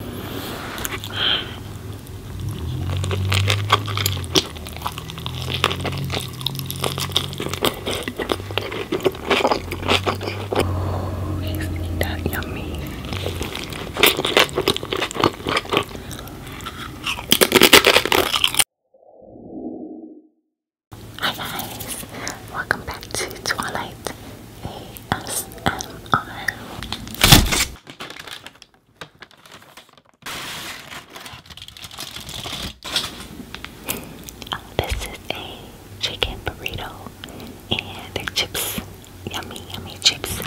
Oh, isn't that yummy? Hi guys, welcome back to Twilight Oh, this is a chicken burrito and the chips. Yummy, yummy chips.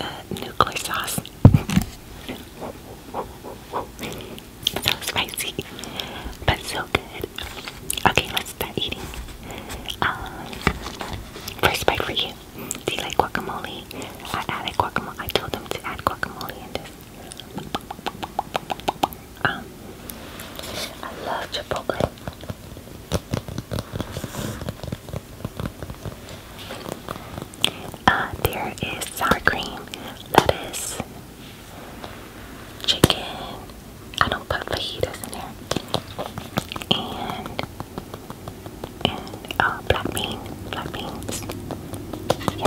Uh, nuclear sauce. so spicy, but so good. Okay, let's um, first bite for you. Do you like guacamole? I added guacamole. I told them to add guacamole in this. Um, I love Chipotle. Uh, there is sour cream, lettuce, chicken. I don't put fajitas in there. And and uh, black bean, black beans. Yeah.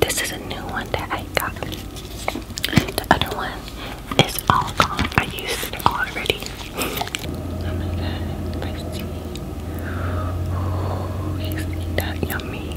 This is a new one that I got. The other one it's all gone. I used it already. Oh my god, spicy. Oh, is that yummy?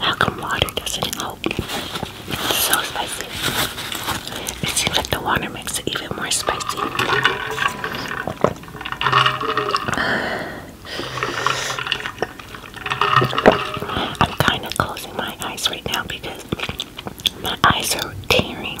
How come water doesn't help? It's so spicy. It seems like the water makes it even more spicy. I'm kind of closing my eyes right now because my eyes are tearing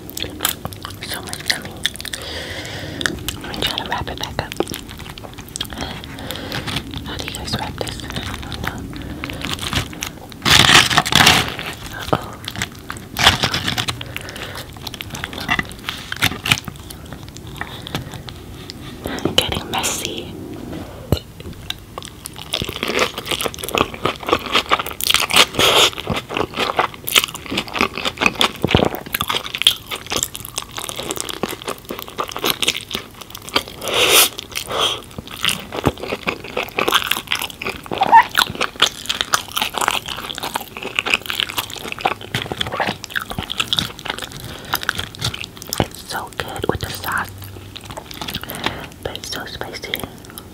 So much gummy. Let me try to wrap it back up. How do you guys wrap this? getting messy. It's so good with the sauce, but it's so spicy.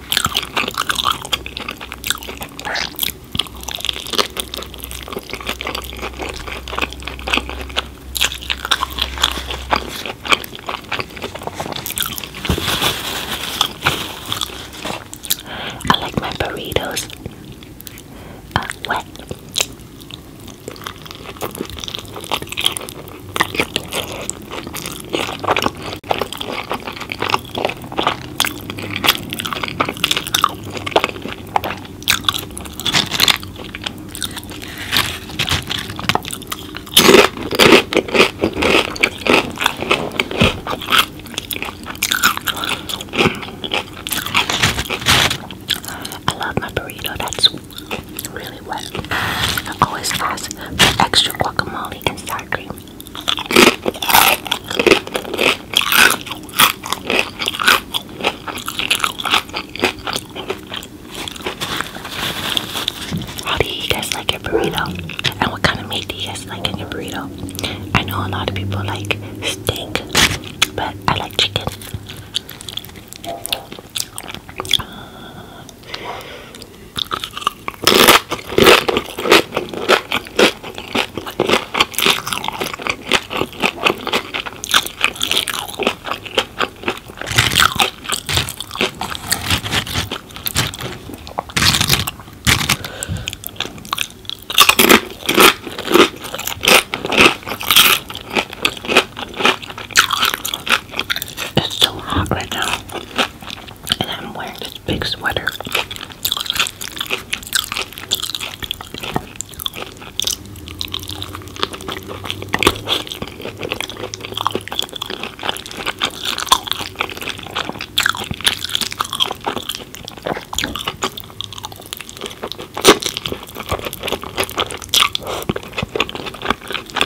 I like my burritos uh, wet. I love my burrito that's really wet. I always ask for extra guacamole and sour cream. How do you guys like your burrito? And what kind of meat do you guys like in your burrito? I know a lot of people like steak, but I like chicken. It's so hot right now and I'm wearing this big sweater.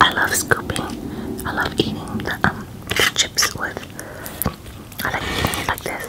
I love scooping. I love eating the um, chips with. I like like this.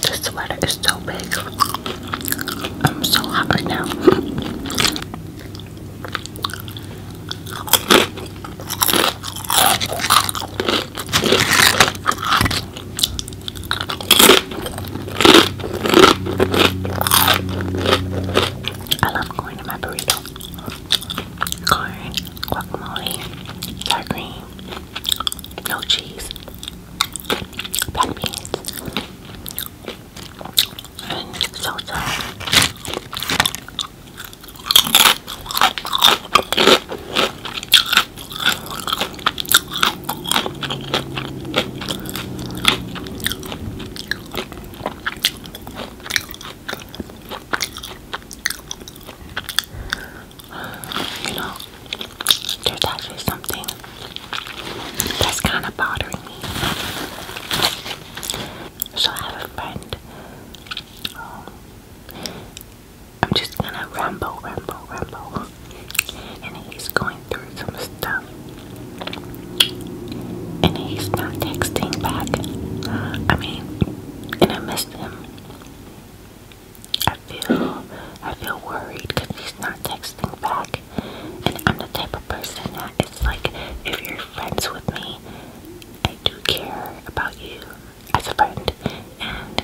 This sweater is so big. I'm so hot right now. I love going to my burrito. Corn, guacamole, sour cream, no cheese, black beans, and salsa. You know, there's actually something that's kind of bothering me. So I have a friend. I'm just gonna ramble, ramble, ramble. And he's going through some stuff. And he's not texting back. I mean, and I miss him. I feel, I feel worried because he's not texting back. And I'm the type of person that it's like, if you're friends with me, I do care about you as a friend, and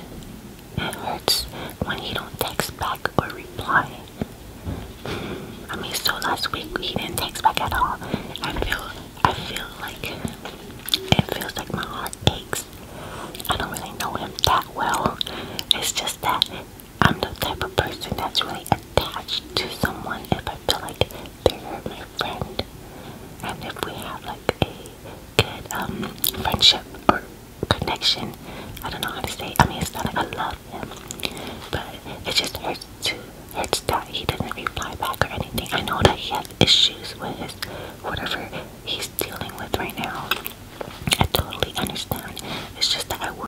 it hurts when you don't text back or reply. I mean, so last week he didn't text back at all. I feel, I feel like it feels like my heart aches. I don't really know him that well. It's just that I'm the type of person that's really attached to someone if I feel like they my friend. And if we have like a good um friendship or connection, I don't know how to say. I mean, it's not like I love him, but it just hurts to hurts that he doesn't reply back or anything. I know that he has issues with whatever he's dealing with right now. I totally understand. It's just that I work.